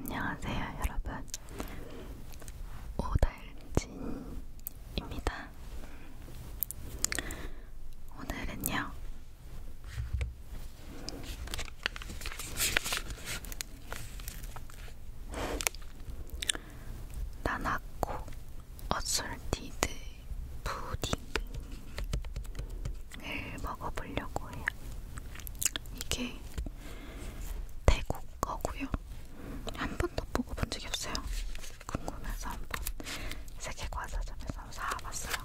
안녕하세요, 여러분. 오달진입니다. 오늘은요. 나나코 어설티드 푸딩을 먹어보려고 해요. 이게 태국 거고요. 한 번도 먹어본 적이 없어요. 궁금해서 한 번 세계과자점에서 사와봤어요.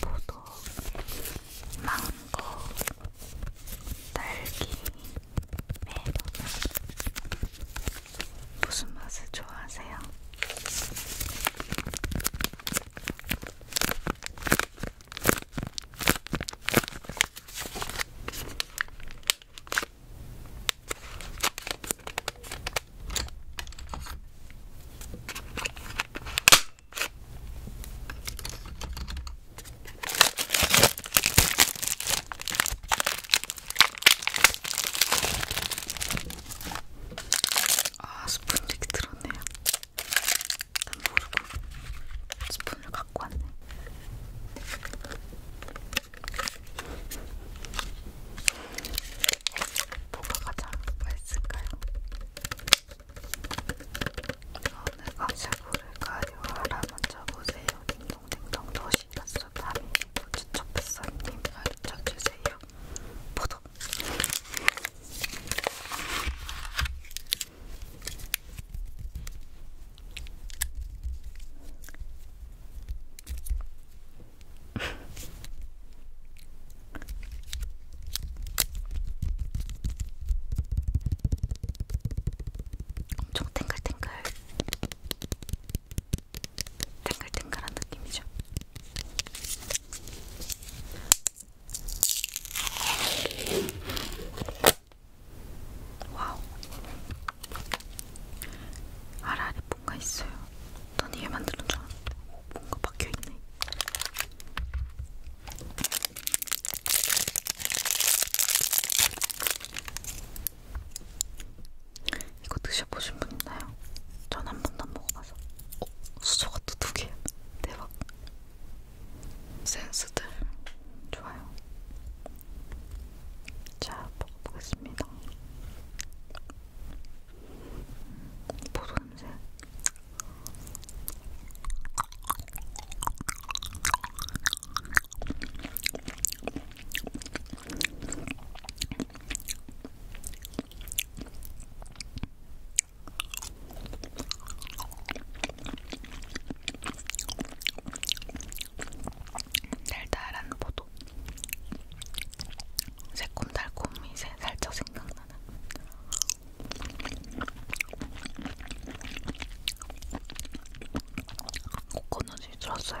포도, 망고, 딸기, 메론 무슨 맛을 좋아하세요? 아, 스푼 되게 들었네요. 난 모르고 스푼을 갖고 왔네. 뭐가 가장 맛있을까요? 오늘 광샤브를 가요하라 먼저 보세요. 딩동댕동 도시났어. 담임 도지초프사님 가르쳐주세요. 포도! 엄청 탱글탱글 탱글탱글한 느낌이죠. 와우. 아라리 뭔가 있어요. 난얘 만드는 줄 알았는데 오, 뭔가 박혀있네. 이거 드셔보신 분 있나요? 전 한 번도 안 먹어봐서. 어? 수저가 또 두 개야. 대박. 센스들 좋아요. 자, 먹어보겠습니다. 포도 냄새. 달달한 포도 새콤달콤이 살짝 생각나는 코코넛이 들었어요.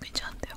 괜찮은데요?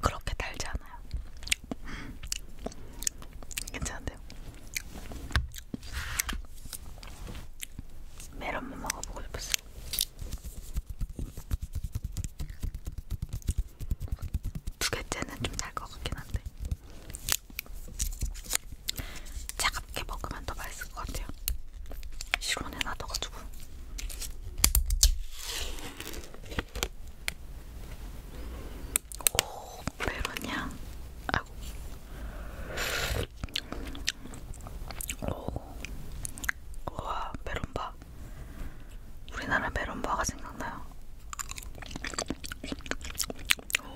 그렇게 달지 않아요. 괜찮은데요? 메론만 먹어보고 싶었어요. 두 개째는 좀 달 것 같긴 한데. 제가 작게 먹으면 더 맛있을 것 같아요. 시원해 놔둬가지고. 오, 메론이야. 아이고. 오, 우와, 메론바. 우리나라 메론바가 생각나요. 오.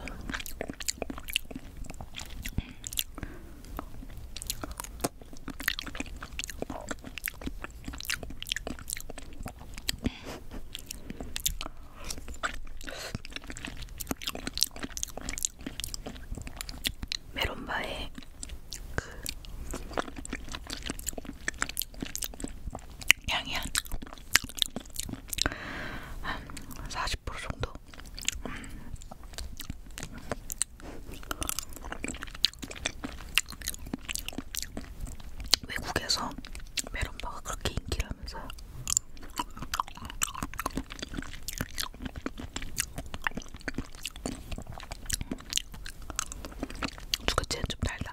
메론바의 그 향이 한40% 정도 외국에서 메론바가 그렇게 인기라면서요. 두 개째는 좀 달다.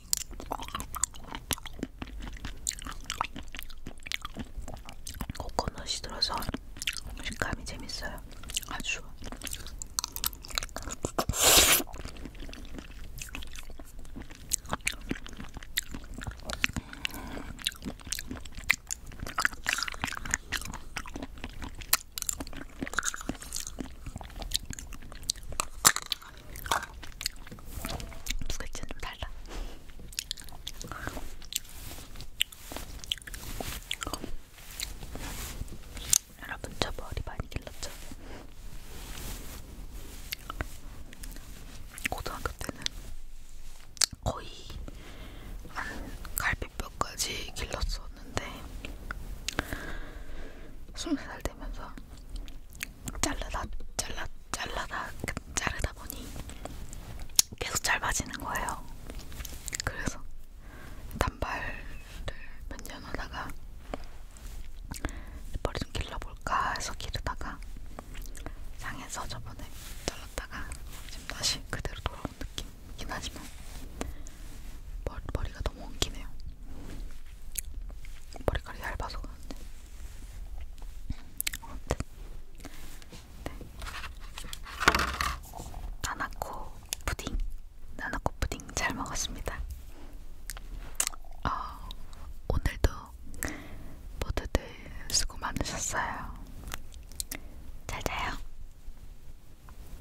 코코넛이 들어서 식감이 재밌어요. 아주. 두 개째 좀 달라. 여러분 저 머리 많이 길렀죠? 고등학교 때는 거의 한 갈비뼈까지 길렀었는데 20살 되면서 자르다 잘라 잘라다 자르다 보니 계속 짧아지는 거예요. 그래서 단발을 몇 년 하다가 머리 좀 길러볼까 해서 기르다가 상해서 저번에 잘랐다가 지금 다시 그대로 돌아온 느낌이긴 하지만 머리, 머리가 너무 엉키네요. 머리카락이 얇아서 그런데 아무튼 네. 나나코 푸딩 나나코 푸딩 잘 먹었습니다 어, 오늘도 모두들 수고 많으셨어요 잘 자요